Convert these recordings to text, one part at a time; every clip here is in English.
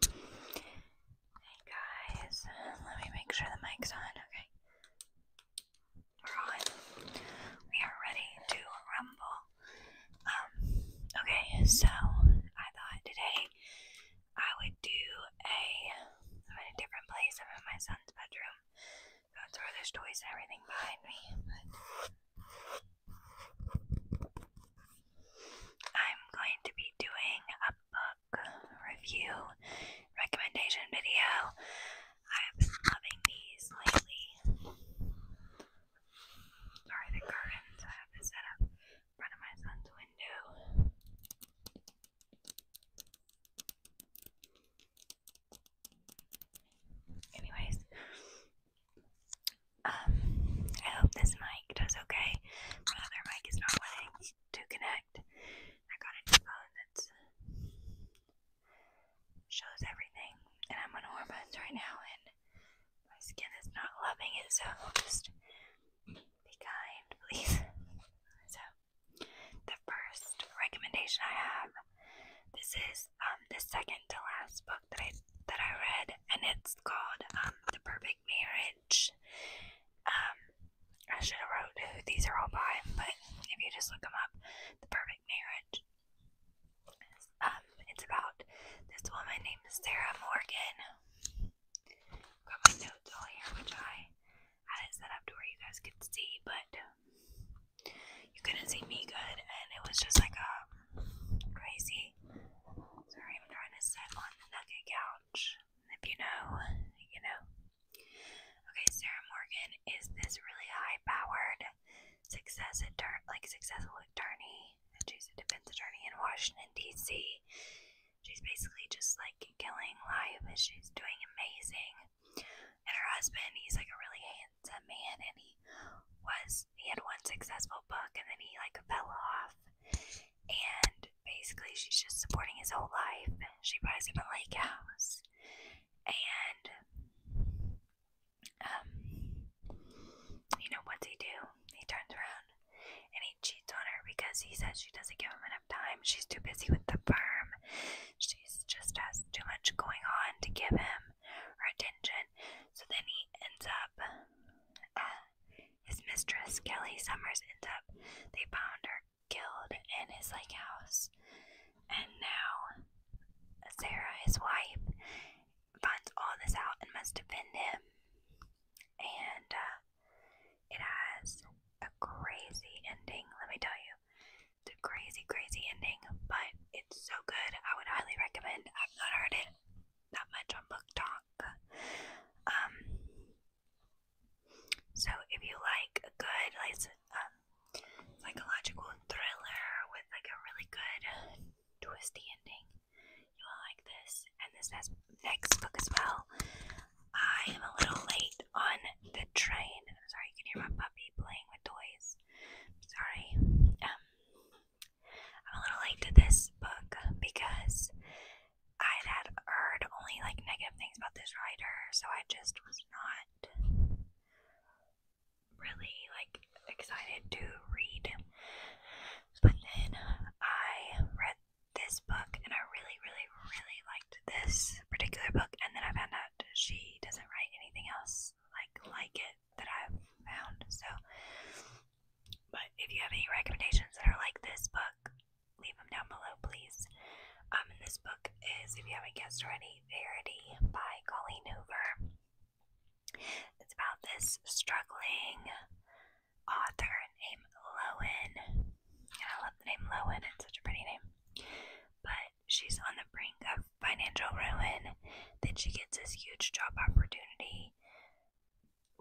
Hey guys, let me make sure the mic's on, okay? We're on. We are ready to rumble. Um, okay, so I thought today I would do a. I'm in a different place. I'm in my son's bedroom. That's where there's toys and everything behind me. I'm going to be doing a book review recommendation video. I've been loving these lately. Sorry, the curtains. I have to set up in front of my son's window. Anyways, um, I hope this mic does okay. My other mic is not wanting to connect. I got a new phone that shows everything, and I'm on hormones right now, and my skin is not loving it, so just be kind, please. So, the first recommendation I have this is um the second to last book that I that I read, and it's called um, The Perfect Marriage. Um, I should have wrote who these are all by, but if you just look them up, The Perfect Marriage. Um, it's about this woman named Sarah Morgan. got my notes all here, which I had it set up to where you guys could see, but you couldn't see me good, and it was just like a crazy Sorry, I'm trying to sit on the naked couch. If you know, you know. Okay, Sarah Morgan is this really high-powered, success attorney, like successful attorney. She's a defense attorney in Washington D.C. She's basically just like killing life. She's doing amazing. And her husband, he's like a really Dickens a man, and he was he had one successful book, and then he like fell off, and basically she's just supporting his whole life. She buys him a lake house, and um, you know what's he do? He turns around and he cheats on her because he says she doesn't give him enough time. She's too busy with the firm. She's just has too much going on to give him her attention. So then he ends up, uh, his mistress, Kelly Summers, ends up, they found her killed in his lake house. And now Sarah, his wife, finds all this out and must defend him. And uh, it has a crazy ending, let me tell you. It's a crazy, crazy ending, but it's so good. I would highly recommend i not heard it that much on book talk. Um, so if you like a good, like, um, psychological thriller with like a really good twisty ending, you'll like this. And this next book as well. I am a little late on the train. sorry, you can hear my puppy playing with toys. sorry. Um, I'm a little late to this book because I had heard only like negative things about this writer, so I just was not really like excited to read. But then I read this book and I really, really, really liked this particular book, and then I found out she doesn't write anything else, else like like it that i found. So, but if you have any recommendations that are like this book, leave them down below, please. Um, this book is, if you haven't guessed already, Verity by Colleen Hoover. It's about this struggling author named Lowen. I love the name Lowen, it's such a pretty name. But she's on the brink of financial ruin. Then she gets this huge job opportunity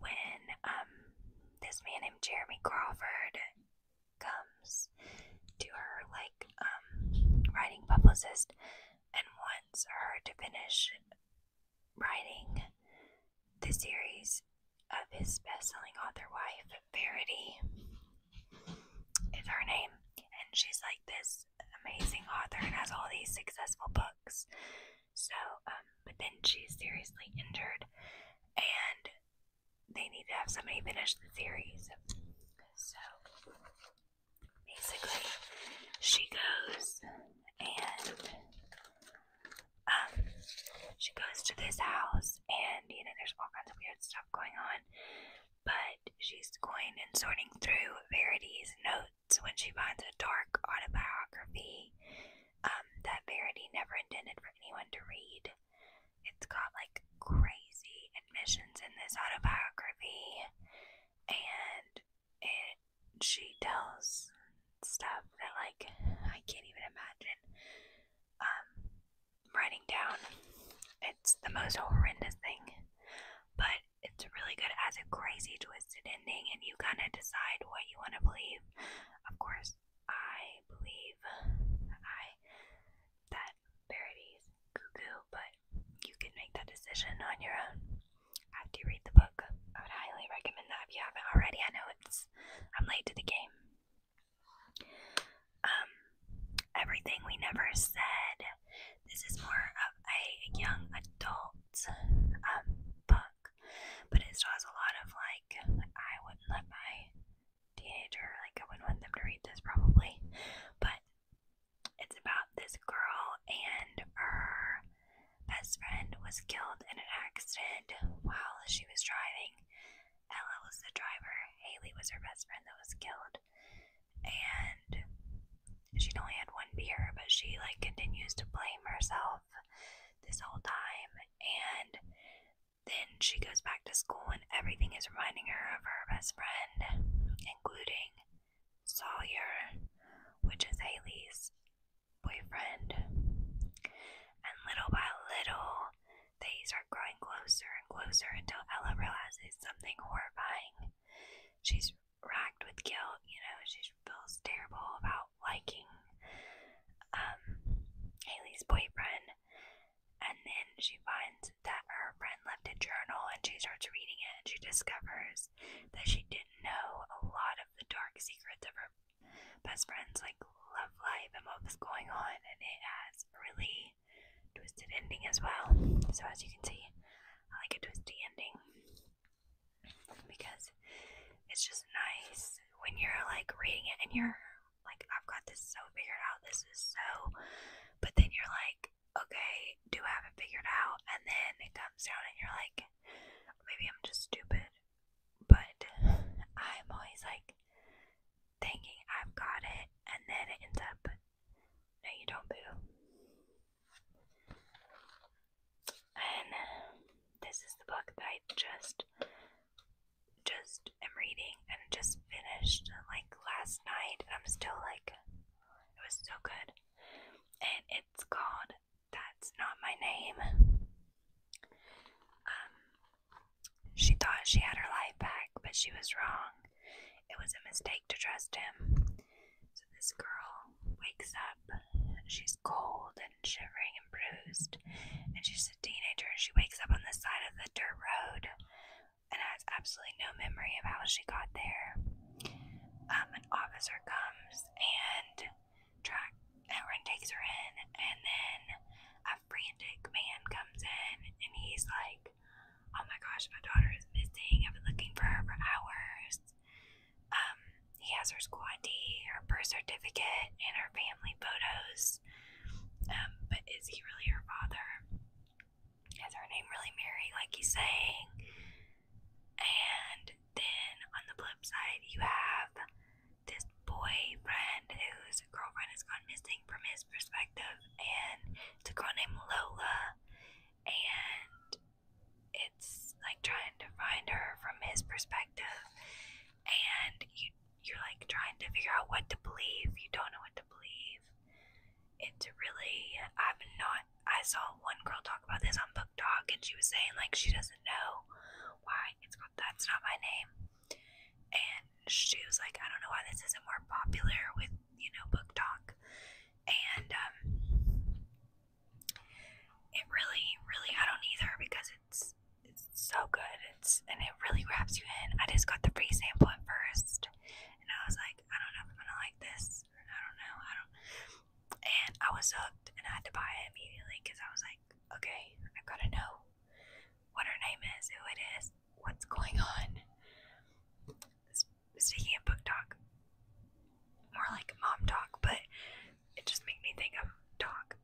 when um, this man named Jeremy Crawford comes to her, like, um, writing publicist and wants her to finish writing the series of his best selling author wife, Verity is her name. And she's like this amazing author and has all these successful books. So, um, but then she's seriously injured and they need to have somebody finish the series. So basically, she goes and um, she goes to this house, and you know, there's all kinds of weird stuff going on but she's going and sorting through Verity's notes when she finds a dark autobiography um, that Verity never intended for anyone to read. It's got like crazy admissions in this autobiography, and it she tells stuff that like I can't even imagine. Um, writing down. It's the most horrendous thing, but it's really good. as a crazy twisted ending, and you kind of decide what you want to believe. Of course, I believe I that Verity's cuckoo, but you can make that decision on your own after you read the book. I would highly recommend that if you haven't already. I know it's I'm late to the game. Um, everything we never said. This is more of a young adult um book, but it still has a lot of like I wouldn't let my teenager like I wouldn't want them to read this probably, but it's about this girl and her best friend was killed in an accident while she was driving Ella was the driver. Haley was her best friend that was killed. And she only had one beer, but she like continues to blame herself this whole time. And then she goes back to school and everything is reminding her of her best friend, including Sawyer, which is Haley's boyfriend. And little by little, they start growing closer and closer until Ella realizes something horrifying. She's racked with guilt, you know, she feels terrible about liking um, Haley's boyfriend. And then she finds that her friend left a journal and she starts reading it and she discovers that she didn't know a lot of the dark secrets of her best friend's like love life and what was going on, and it has really twisted ending as well. So, as you can see, I like a twisty ending because it's just nice when you're like reading it and you're like, I've got this so figured out, this is so, but then you're like, okay, do I have it figured out? And then it comes down and you're like, maybe I'm just stupid, but I'm always like, thinking I've got it, and then it ends up. No, you don't, boo. And this is the book that I just just am reading and just finished like last night. I'm still like it was so good. And it's called That's Not My Name. Um, she thought she had her life back, but she was wrong. It was a mistake to trust him. So this girl wakes up. She's cold and shivering and bruised. And she's a teenager and she wakes up on the side of the dirt road and has absolutely no memory of how she got there. Um, an officer comes and track that takes her in, and then a frantic man comes in, and he's like, "Oh my gosh, my daughter is missing. I've been looking for her for hours." Um, he has her school ID, her birth certificate, and her family photos. Um, but is he really her father? Is her name really Mary, like he's saying? And then on the flip side, you have this boyfriend whose girlfriend has gone missing from his perspective, and it's a girl named Lola, and it's like trying to find her from his perspective, and you you're like trying to figure out what to believe. You don't know what to believe. It's really I've not. I saw one girl talk about this on Book Talk, and she was saying like she doesn't know know why it's called That's Not My Name. And she was like, I don't know why this isn't more popular with, you know, book talk. And um, it really, really, I don't either because it's it's so good. It's and it really wraps you in. I just got the free sample at first, and I was like, I don't know if I'm gonna like this. I don't know. I don't. And I was hooked, and I had to buy it immediately because I was like okay, i got to know what her name is, who it is, what's going on. Speaking of book talk, more like mom talk, but it just made me think of talk.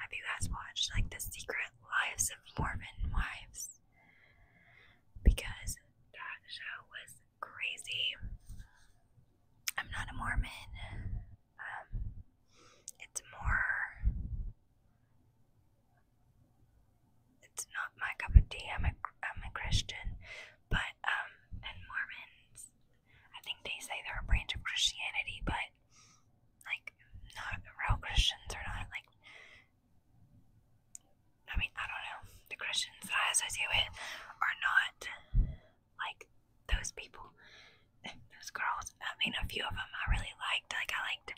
Have you guys watched like the Secret Lives of Mormon Wives? Because that show was crazy. I'm not a Mormon. Um, it's more. It's not my cup of tea. I'm a I'm a Christian, but um, and Mormons, I think they say they're a branch of Christianity, but like not real Christians are not like. I mean, I don't know. The Christians that I associate with are not like those people, those girls. I mean, a few of them I really liked. Like I liked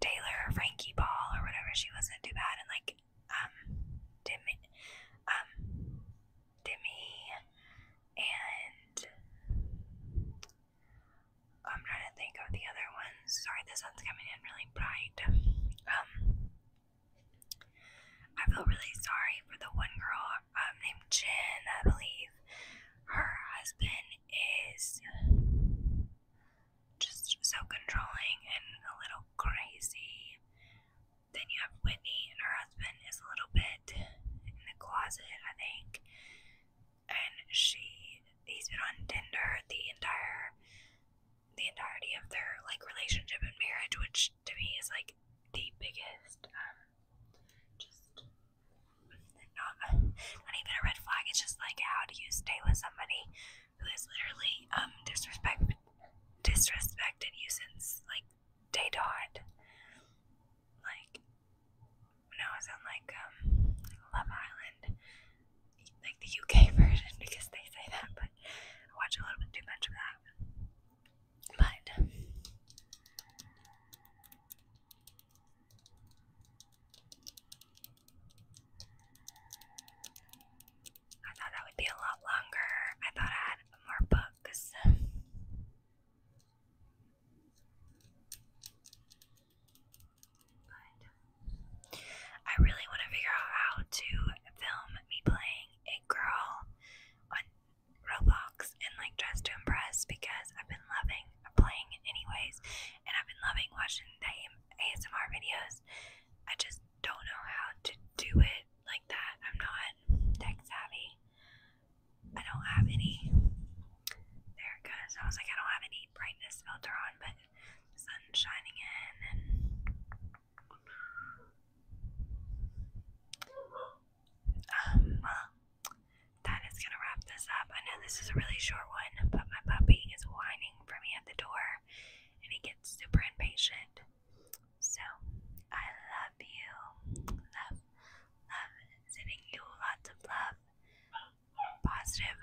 Taylor or Frankie Ball or whatever. She wasn't too bad, and like um, Demi, um, Demi, and I'm trying to think of the other ones. Sorry, the sun's coming in really bright. Um, I feel really sorry for the one girl um, named Jen, I believe. Her husband is just so controlling and a little crazy. Then you have Whitney, and her husband is a little bit in the closet, I think. And she, he's been on Tinder the entire the entirety of their like relationship and marriage, which to me is like the biggest, um, just not, not even a red flag. It's just like how do you stay with somebody who has literally um disrespect disrespected you since like day dot. Like when I was on like um Love Island, like the UK version because they say that, but watch a little bit too much of that. But I thought that would be a lot longer. I thought I had more books. I really want to figure out how to film me playing a girl on Roblox and like Dress to Impress because I've been loving playing it anyways, and I've been loving watching the ASMR videos. I just don't know how to do it like that. I'm not tech savvy. I don't have any. There it goes. I was like, I don't have any brightness filter on, but sun shining in, and um, that is gonna wrap this up. I know this is a really short one, but my puppy is whining for me at the door and he gets super impatient. So, I love you. Love, love, sending you lots of love. Positive.